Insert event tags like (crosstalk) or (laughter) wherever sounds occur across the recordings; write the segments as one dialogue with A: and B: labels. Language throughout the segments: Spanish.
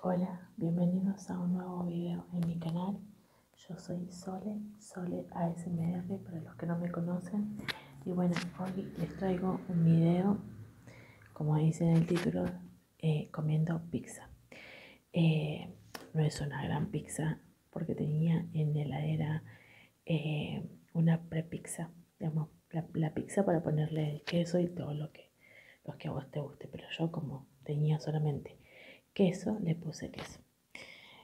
A: Hola, bienvenidos a un nuevo video en mi canal. Yo soy Sole, Sole ASMR para los que no me conocen. Y bueno, hoy les traigo un video, como dice en el título, eh, comiendo pizza. Eh, no es una gran pizza porque tenía en heladera eh, una prepizza digamos, la, pizza para ponerle el queso y todo lo que, los que a vos te guste. Pero yo como tenía solamente queso, le puse queso.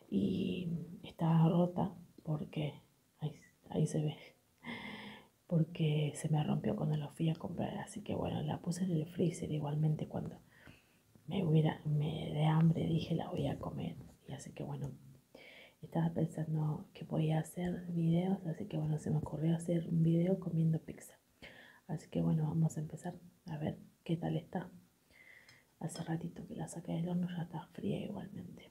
A: Y estaba rota porque, ahí, se ve, porque se me rompió cuando la fui a comprar. Así que bueno, la puse en el freezer igualmente cuando me, hubiera, me de hambre dije la voy a comer. Y así que bueno, estaba pensando que podía hacer videos, así que bueno, se me ocurrió hacer un video comiendo pizza. Así que bueno, vamos a empezar a ver qué tal está. Hace ratito que la saqué del horno, ya está fría igualmente.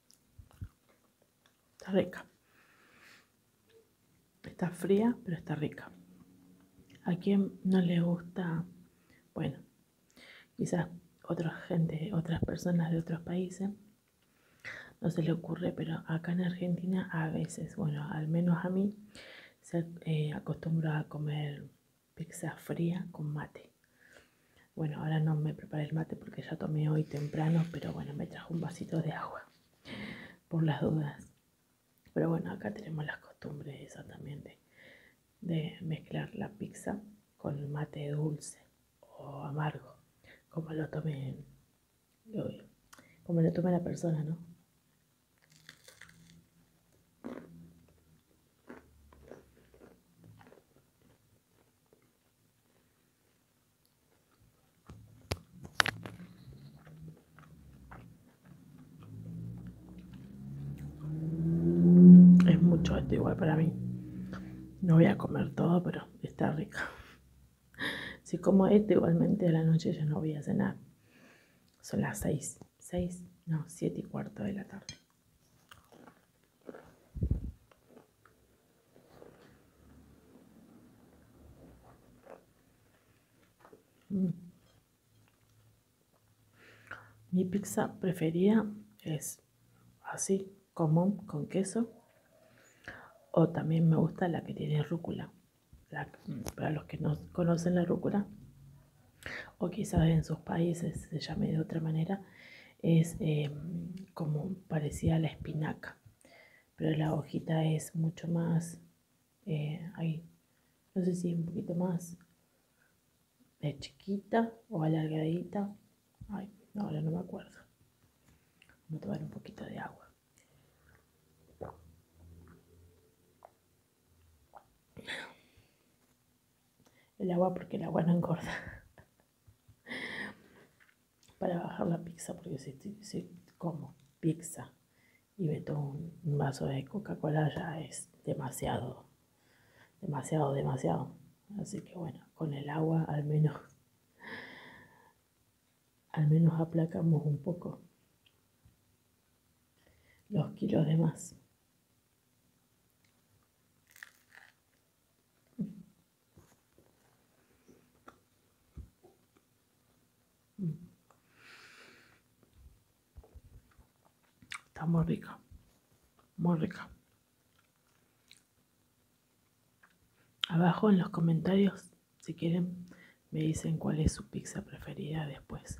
A: Está rica. Está fría, pero está rica. ¿A quien no le gusta? Bueno, quizás otra gente, otras personas de otros países, no se le ocurre, pero acá en Argentina a veces, bueno, al menos a mí, se eh, acostumbra a comer pizza fría con mate. Bueno, ahora no me preparé el mate porque ya tomé hoy temprano, pero bueno, me trajo un vasito de agua, por las dudas. Pero bueno, acá tenemos las costumbres esa también de, mezclar la pizza con el mate dulce o amargo, como lo tomen como lo tome la persona, ¿no? Es mucho esto igual para mí. No voy a comer todo, pero está rica. (laughs) Si como este igualmente a la noche ya no voy a cenar. Son las 6, 6, no, siete y cuarto de la tarde. Mi pizza preferida es así, común, con queso. O también me gusta la que tiene rúcula. para los que no conocen la rúcula, o quizás en sus países se llame de otra manera, es eh, como parecía la espinaca pero la hojita es mucho más, eh, no sé si un poquito más de chiquita o alargadita. Ay, ahora no me acuerdo. Voy a tomar un poquito de agua. El agua porque el agua no engorda para bajar la pizza, porque si, como pizza y meto un vaso de Coca-Cola ya es demasiado, demasiado, demasiado. Así que bueno, con el agua al menos, al menos aplacamos un poco los kilos de más. Está muy rica, muy rica. Abajo en los comentarios, si quieren, me dicen cuál es su pizza preferida después.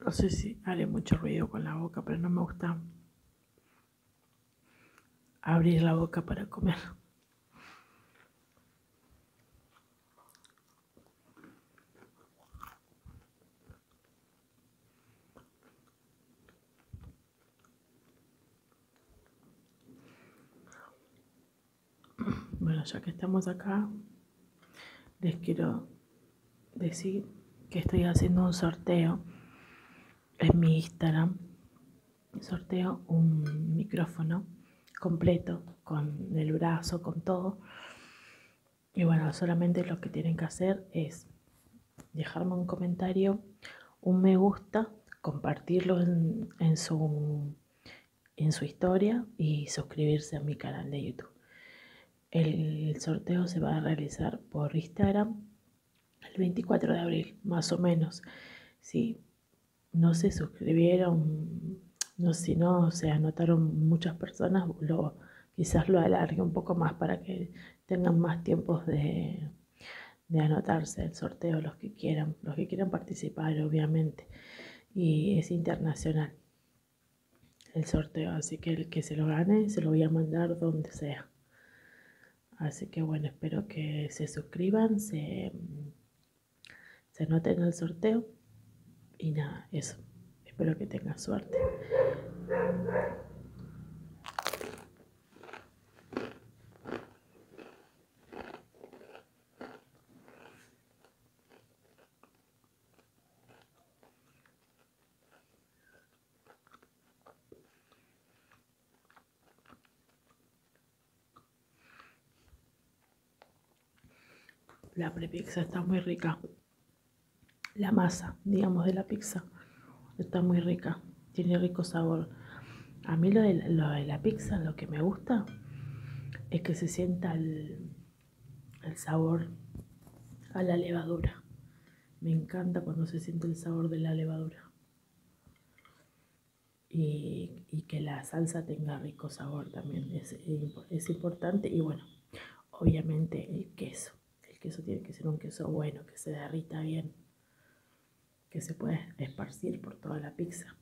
A: No sé si haré mucho ruido con la boca, pero no me gusta abrir la boca para comer. Bueno, ya que estamos acá, les quiero decir que estoy haciendo un sorteo en mi Instagram. Sorteo un micrófono completo con el brazo, con todo. Y bueno, solamente lo que tienen que hacer es dejarme un comentario, un me gusta, compartirlo en, su, en su historia y suscribirse a mi canal de YouTube. El, sorteo se va a realizar por Instagram el 24 de abril, más o menos. Si no se suscribieron, no, si no se anotaron muchas personas, lo quizás lo alargue un poco más para que tengan más tiempos de, de anotarse el sorteo, los que quieran, los que quieran participar, obviamente. Y es internacional el sorteo, así que el que se lo gane se lo voy a mandar donde sea. Así que bueno, espero que se suscriban, se, se anoten al sorteo y nada, eso. Espero que tengan suerte. La prepixa está muy rica la masa, digamos, de la pizza. Está muy rica, tiene rico sabor. A mí lo de, la pizza, lo que me gusta es que se sienta el, sabor a la levadura. Me encanta cuando se siente el sabor de la levadura. Y, que la salsa tenga rico sabor también es, importante y bueno obviamente el queso el queso tiene que ser un queso bueno, que se derrita bien, que se puede esparcir por toda la pizza.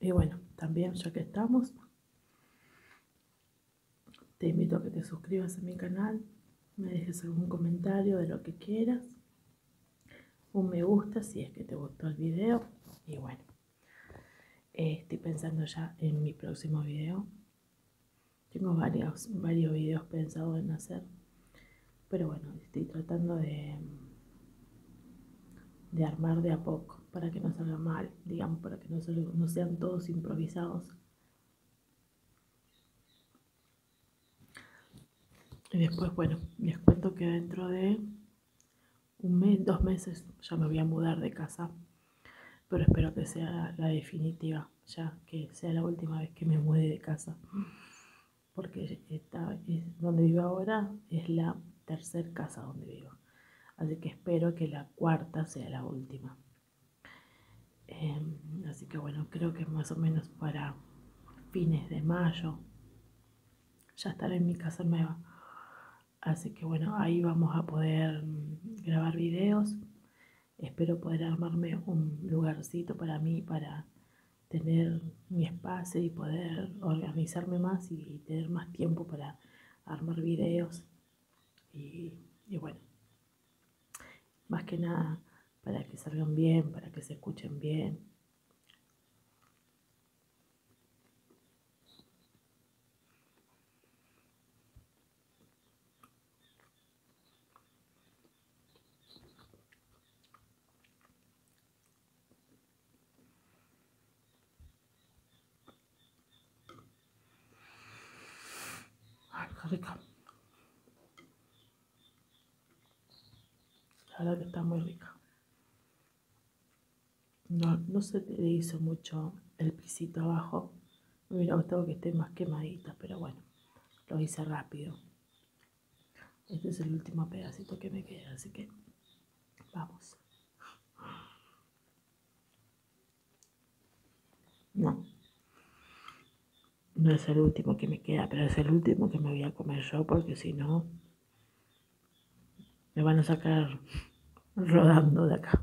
A: Y bueno, también ya que estamos, te invito a que te suscribas a mi canal, me dejes algún comentario de lo que quieras, un me gusta si es que te gustó el video y bueno, eh, estoy pensando ya en mi próximo video. Tengo varios, varios videos pensados en hacer, pero bueno, estoy tratando de, de armar de a poco para que no salga mal digamos, para que no, sean todos improvisados. Y después, bueno, les cuento que dentro de un mes, dos meses, ya me voy a mudar de casa. Pero espero que sea la definitiva, ya que sea la última vez que me mude de casa. Porque donde vivo ahora es la tercera casa donde vivo. Así que espero que la cuarta sea la última. Em, así que bueno, creo que más o menos para fines de mayo ya estaré en mi casa nueva. Así que bueno, ahí vamos a poder mm, grabar videos. Espero poder armarme un lugarcito para mí, para tener mi espacio y poder organizarme más y tener más tiempo para armar videos y, bueno, más que nada para que salgan bien, para que se escuchen bien rica. La verdad que está muy rica. No, no se le hizo mucho el pisito abajo. Me hubiera gustado que esté más quemadita, pero bueno, lo hice rápido. Este es el último pedacito que me queda, así que vamos. No. No es el último que me queda, pero es el último que me voy a comer yo porque si no me van a sacar rodando de acá.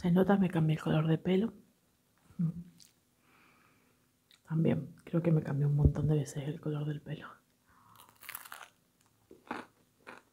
A: Se nota, me cambié el color de pelo. También creo que me cambió un montón de veces el color del pelo.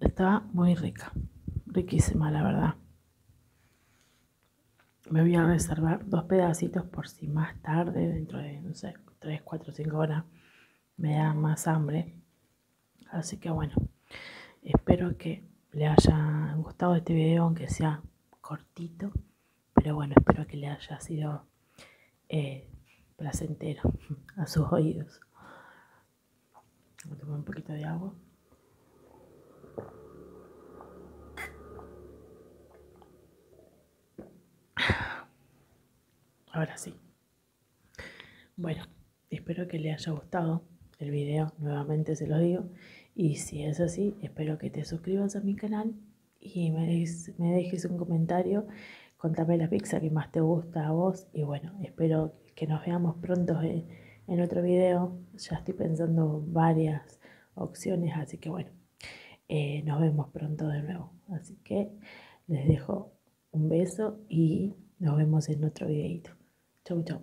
A: Estaba muy rica, riquísima la verdad. Me voy a reservar dos pedacitos por si más tarde, dentro de, no sé, 3, 4, 5 horas, me da más hambre. Así que bueno, espero que le haya gustado este video, aunque sea cortito. Pero bueno, espero que le haya sido eh, placentero (laughs) a sus oídos. Voy a tomar un poquito de agua. Ahora sí. Bueno, espero que le haya gustado el video. Nuevamente se los digo. Y si es así, espero que te suscribas a mi canal y me, dejes un comentario. Contame la pizza que más te gusta a vos. Y bueno, espero que nos veamos pronto en, otro video. Ya estoy pensando varias opciones, así que bueno, eh, nos vemos pronto de nuevo. Así que les dejo un beso y nos vemos en otro videito. Chau, chau.